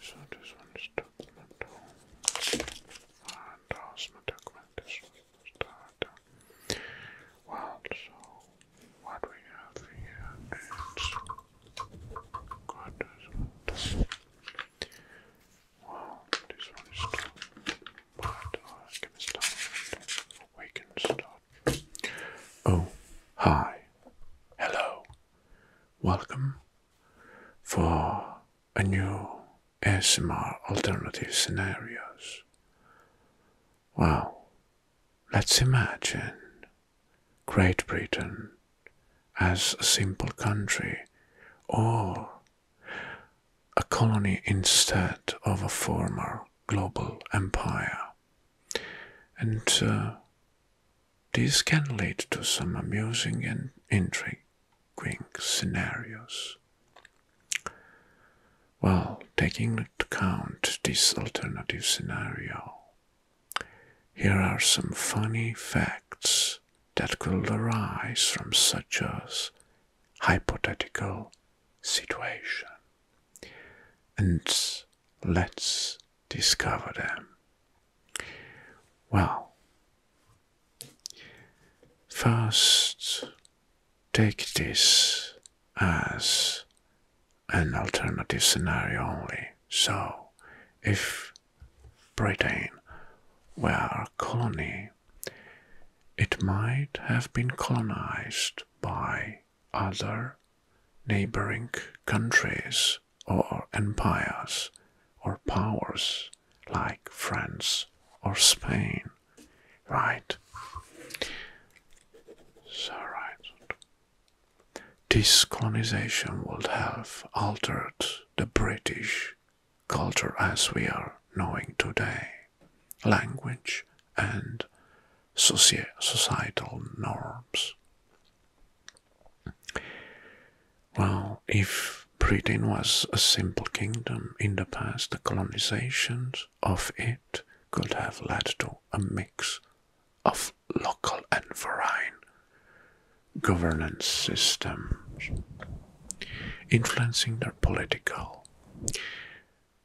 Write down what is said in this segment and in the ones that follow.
So this one is document home. And also my document this one is Well, so what we have here is got this one. Well, this one is done. But uh, I can start. Oh, hi. Hello. Welcome for a new SMR alternative scenarios. Well, let's imagine Great Britain as a simple country or a colony instead of a former global empire. And uh, this can lead to some amusing and intriguing scenarios. Well, taking into account this alternative scenario, here are some funny facts that could arise from such a hypothetical situation. And Let's discover them. Well, first take this as an alternative scenario only. So, if Britain were a colony, it might have been colonized by other neighboring countries or empires or powers like France or Spain, right? So, right. This colonization would have altered the British culture as we are knowing today, language and societal norms. Well, if Britain was a simple kingdom in the past, the colonizations of it could have led to a mix of local and foreign governance systems, influencing their political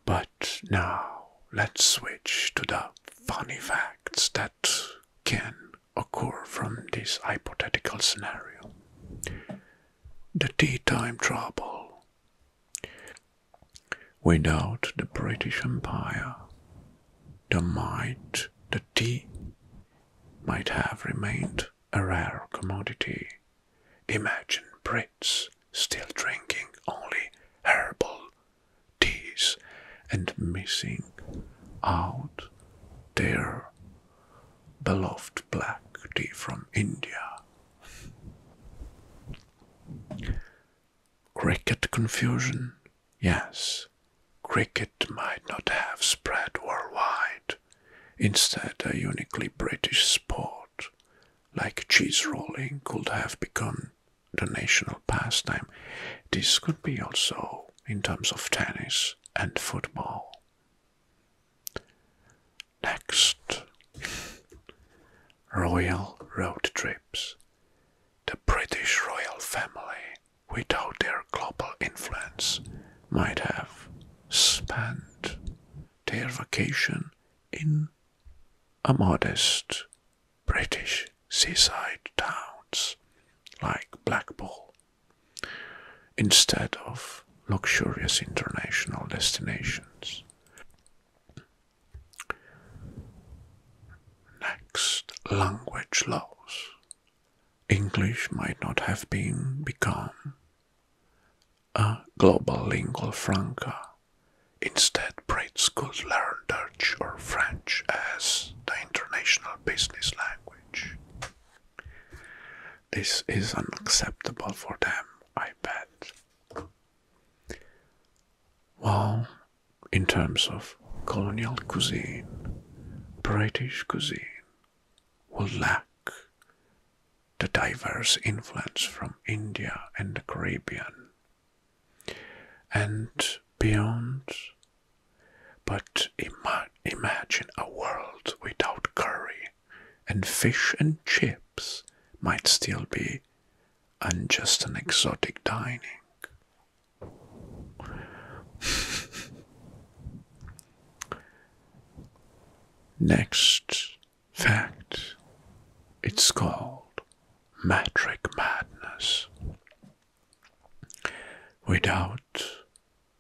but now let's switch to the funny facts that can occur from this hypothetical scenario. The tea time trouble. Without the British Empire, the might, the tea, might have remained a rare commodity. Imagine still drinking only herbal teas and missing out their beloved black tea from India. Cricket confusion? Yes, cricket might not have spread worldwide. Instead, a uniquely British sport like cheese rolling, could have become the national pastime. This could be also in terms of tennis and football. Next, royal road trips. The British royal family, without their global influence, might have spent their vacation in a modest British seaside towns like Blackpool, instead of luxurious international destinations. Next, language loss, English might not have been become a global lingua franca. Instead, Brits could learn Dutch or French as the international business language. This is unacceptable for them, I bet. Well, in terms of colonial cuisine, British cuisine will lack the diverse influence from India and the Caribbean and beyond. But imagine a world without curry, and fish and chips might still be unjust and exotic dining. Next, fact, it's called metric madness. Without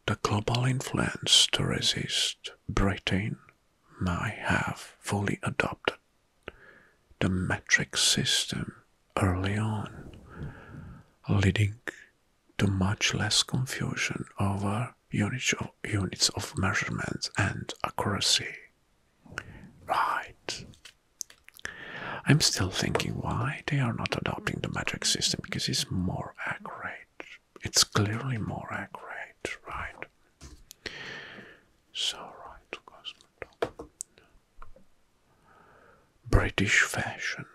the global influence to resist, Britain might have fully adopted the metric system early on, leading to much less confusion over units of, units of measurement and accuracy. Right. I'm still thinking why they are not adopting the metric system because it's more accurate. It's clearly more accurate, right? So, right, British fashion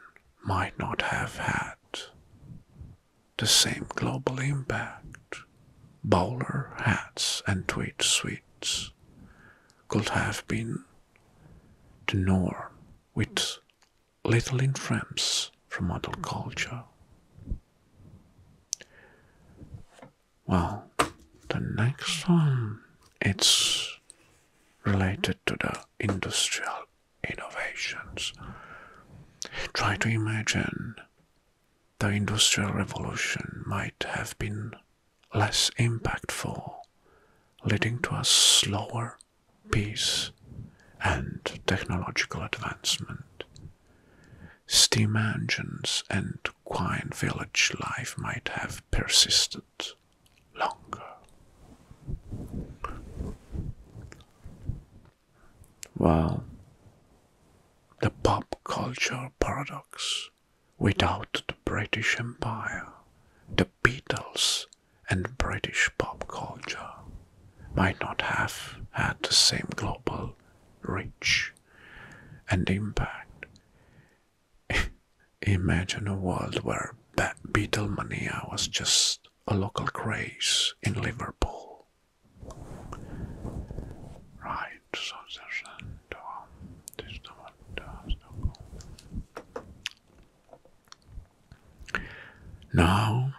might not have had the same global impact bowler hats and tweed suits could have been the norm with little influence from other culture. Well, the next one it's related to the industrial innovations. Try to imagine the Industrial Revolution might have been less impactful, leading to a slower pace and technological advancement. Steam engines and quiet village life might have persisted longer. Well, the pop culture paradox. Without the British Empire, the Beatles and British pop culture might not have had the same global reach and impact. Imagine a world where Beatlemania was just a local craze in Liverpool. Right, so there's that. Uh, this is the one. Now,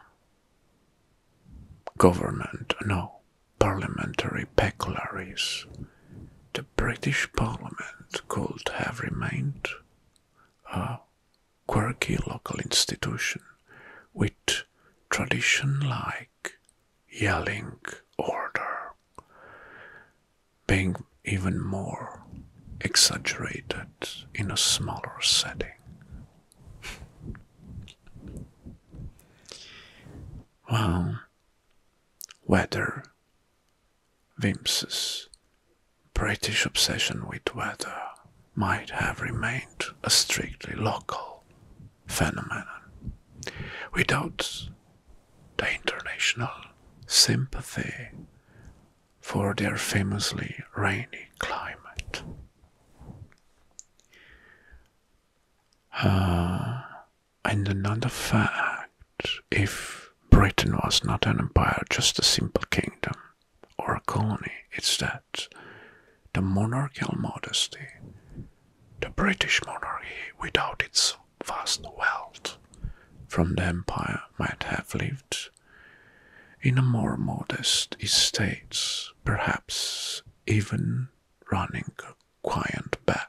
government, no, parliamentary peculiarities. The British Parliament could have remained. Uh, quirky local institution with tradition like yelling order being even more exaggerated in a smaller setting. Well, whether Wims's British obsession with weather might have remained a strictly local phenomenon without the international sympathy for their famously rainy climate. Uh, and another fact if Britain was not an empire, just a simple kingdom or a colony, it's that the monarchical modesty, the British monarchy without its vast wealth from the empire might have lived in a more modest estate, perhaps even running a quiet bed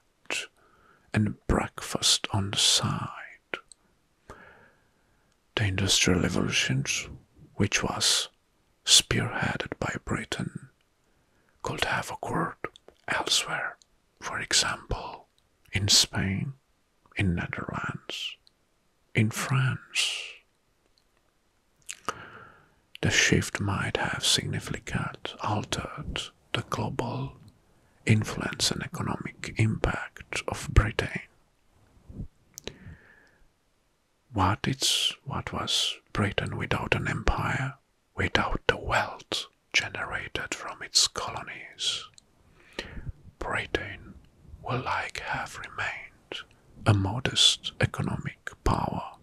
and breakfast on the side. The Industrial Revolution, which was spearheaded by Britain, could have occurred elsewhere, for example, in Spain, in Netherlands, in France. The shift might have significantly altered the global influence and economic impact of Britain. What it's what was Britain without an empire, without the wealth generated from its colonies? Britain will like have remained a modest economic power,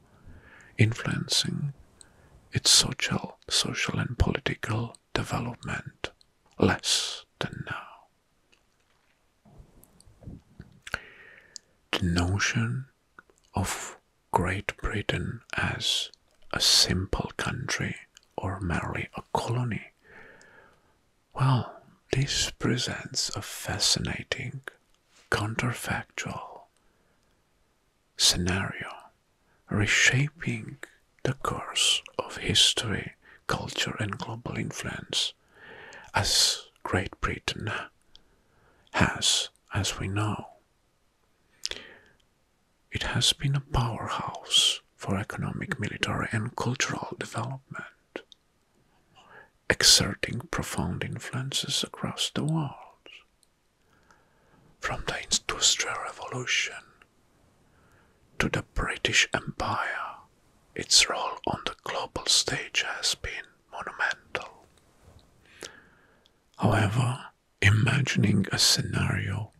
influencing its social, social and political development less than now. The notion of Great Britain as a simple country or merely a colony, well, this presents a fascinating counterfactual scenario, reshaping the course of history, culture, and global influence, as Great Britain has, as we know. It has been a powerhouse for economic, military, and cultural development, exerting profound influences across the world. From the Industrial Revolution to the British Empire, its role on the global stage has been monumental. However, imagining a scenario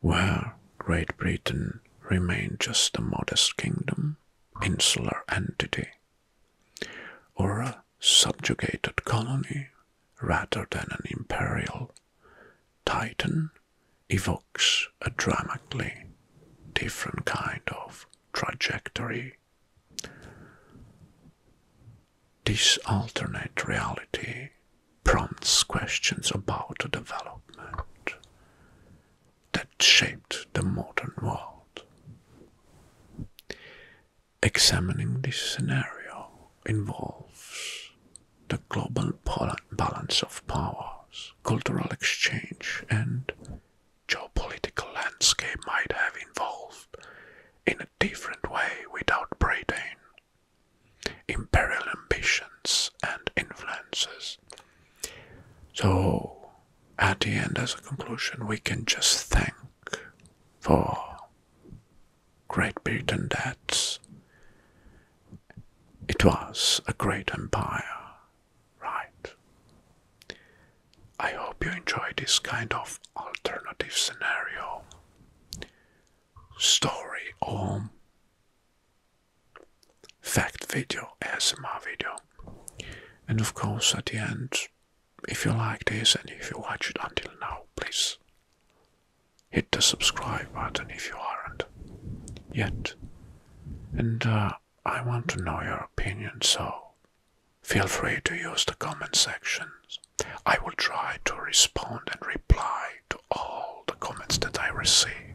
where Great Britain remained just a modest kingdom, insular entity, or a subjugated colony rather than an imperial titan evokes a dramatically different kind of trajectory. This alternate reality prompts questions about the development that shaped the modern world examining this scenario involves the global balance of powers, cultural exchange, and geopolitical landscape might have evolved in a different way without Britain. Imperial ambitions and influences. So, at the end, as a conclusion, we can just thank for Great Britain that it was a great empire, right? I hope you enjoy this kind of alternative scenario, story or fact video, ASMR video. And of course, at the end, if you like this and if you watch it until now, please hit the subscribe button if you aren't yet. And uh, I want to know your opinion, so feel free to use the comment sections. I will try to respond and reply to all the comments that I receive.